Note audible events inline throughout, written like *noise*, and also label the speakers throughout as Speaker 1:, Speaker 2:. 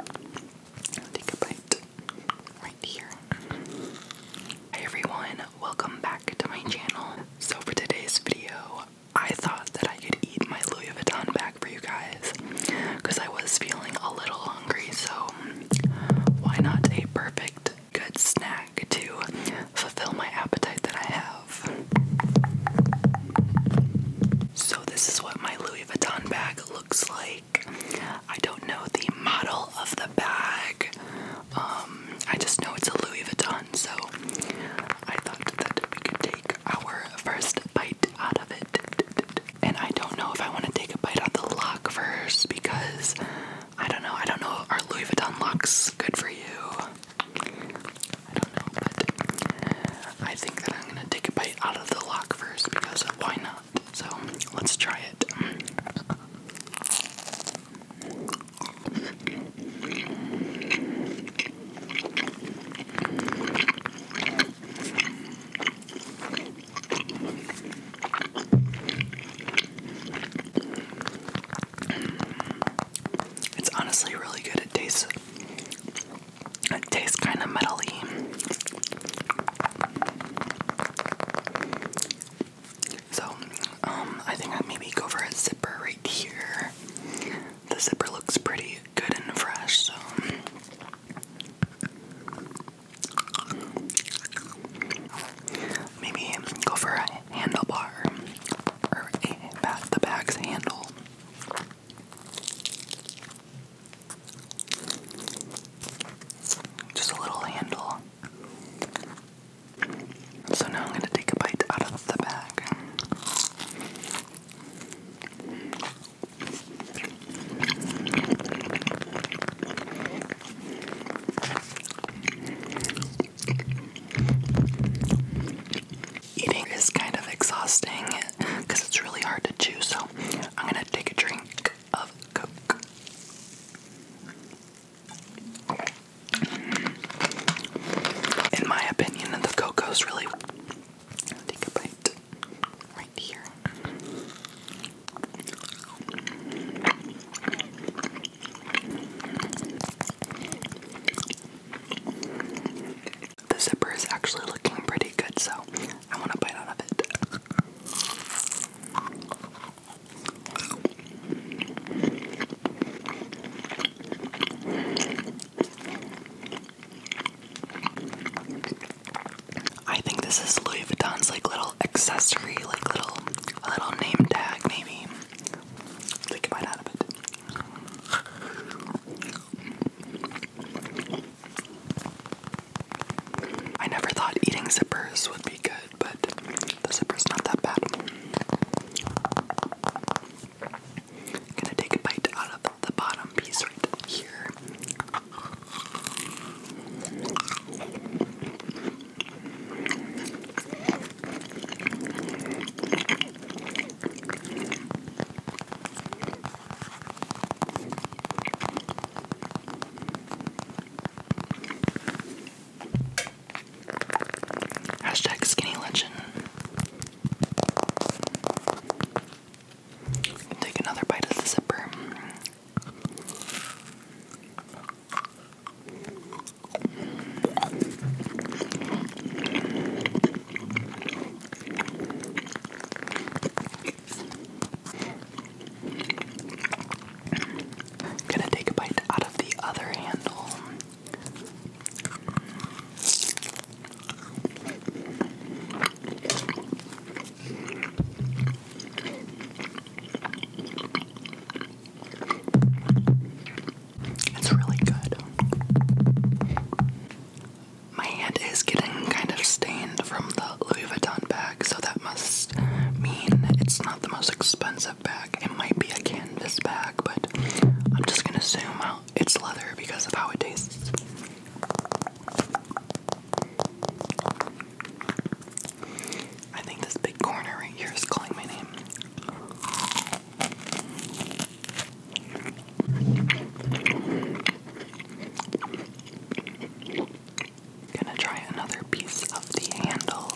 Speaker 1: Take everyone, welcome back to my channel. So for today's video, I thought that I could eat my Louis Vuitton bag for you guys because I was feeling a little hungry, so why not a perfect good snack to fulfill my appetite that I have? So, this is what my Louis Vuitton bag looks like. I don't know the model of the bag. Um, I just know it's a Louis Vuitton, so I thought that we could take our first bite out of it. And I don't know if I want to take a bite out the lock first because I don't know. I don't know. Are Louis Vuitton locks good for you? I don't know, I think that I'm gonna take a bite out of the lock first because why not? So let's try it. It's honestly really good. It tastes it tastes kind of metally. So, um, I think I'd maybe go for a zipper right here. The zipper looks pretty good and fresh, so. Maybe go for a handlebar or a bat the bag's handle. Just a little handle. So now I'm going to take a bite out of the bag eating is kind of exhausting because it's really hard to chew, so I'm gonna take a drink of Coke. In my opinion, the Coke goes really Take a bite right here the zipper is actually looking pretty good, so I want to bite out of it. I think this is Louis Vuitton's like little accessory, like little, little name tag, maybe. Take a bite out of it. I never thought eating zippers would be good, but the zipper's not that bad. gonna take a bite out of the bottom piece right here. Hashtag skinny legend. Take another bite of the zipper. Gonna take a bite out of the other handle. It's really good. My hand is getting kind of stained from the Louis Vuitton bag, so that must mean it's not the most expensive bag. It might be a canvas bag, but I'm just gonna assume it's leather because of how it tastes. I think this big corner right here is calling my name. Gonna try another piece of the handle.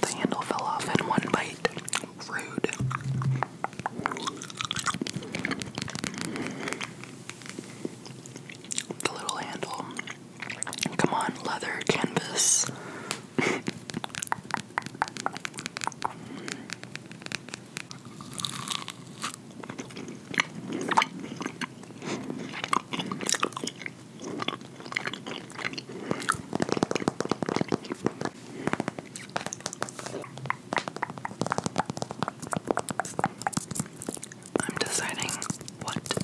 Speaker 1: The handle fell off in one bite. Rude. The little handle. Come on, leather, canvas. I'm deciding what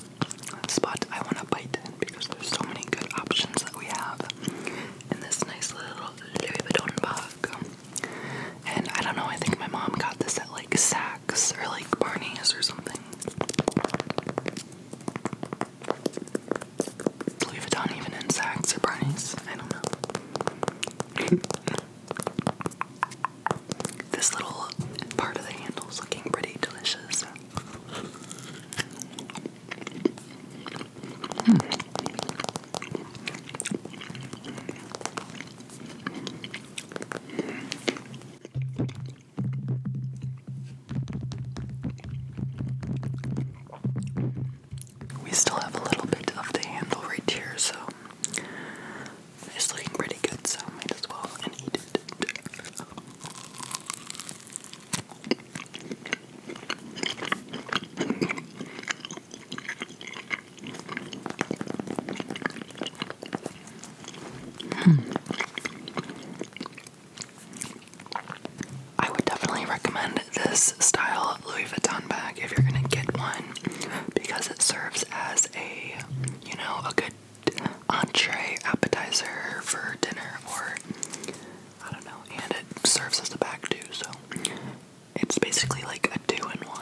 Speaker 1: spot I want to bite because there's so many good options that we have in this nice little Louis Vuitton bag. And I don't know, I think my mom got this at like Saks or like Barney's or something. Louis Vuitton even insects or bunnies. I don't know. *laughs* this little part of the handle is looking pretty delicious. Hmm we still have a little bit of the handle right here, so it's looking pretty good, so might as well eat it. Hmm. I would definitely recommend this style Louis Vuitton bag if you're gonna get one because it serves as a, you know, a good entree appetizer for dinner or I don't know, and it serves as a bag too, so it's basically like a two in one.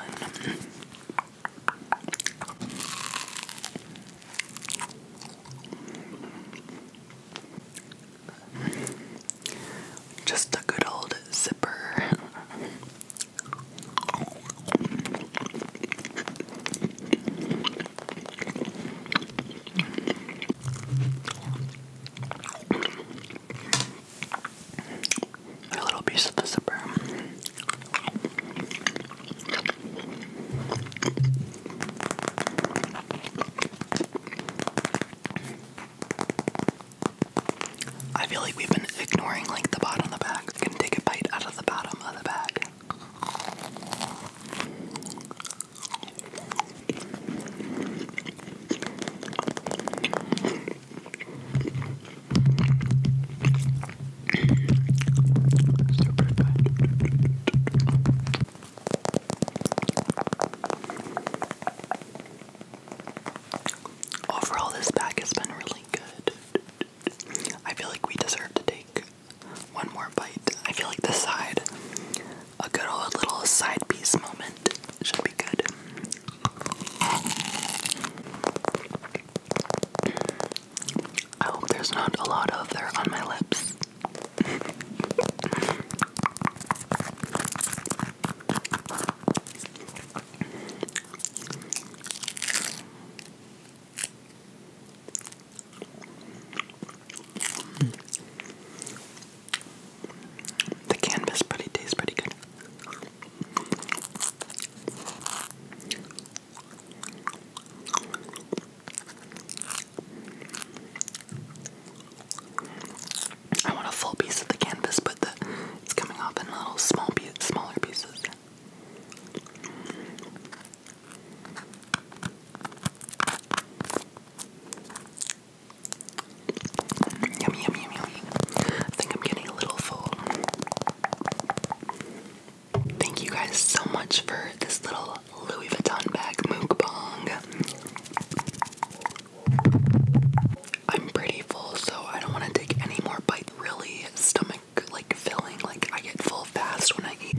Speaker 1: Just a good old zipper. A little piece of the zipper. I feel like we've been ignoring like the bottom of the bag. I'm take a bite out of the bottom of the bag. Super good. Overall, this pack has been really good. I feel like we deserve to take one more bite. I feel like the side, a good little side piece moment, should be good. I hope there's not a lot of there on my lips. The canvas, but it tastes pretty good. I want a full piece of the canvas, but the, it's coming off in little small pieces. Mm, yummy, yummy, yummy. I think I'm getting a little full. Thank you guys so much for this little Louis Vuitton bag bong. I'm pretty full, so I don't want to take any more bite. Really, stomach like filling. Like I get full fast when I eat.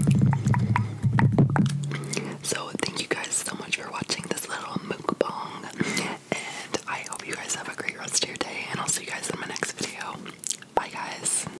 Speaker 1: So thank you guys so much for watching this little bong, and I hope you guys have a great rest of your day. And I'll see you guys in my next video. Bye, guys.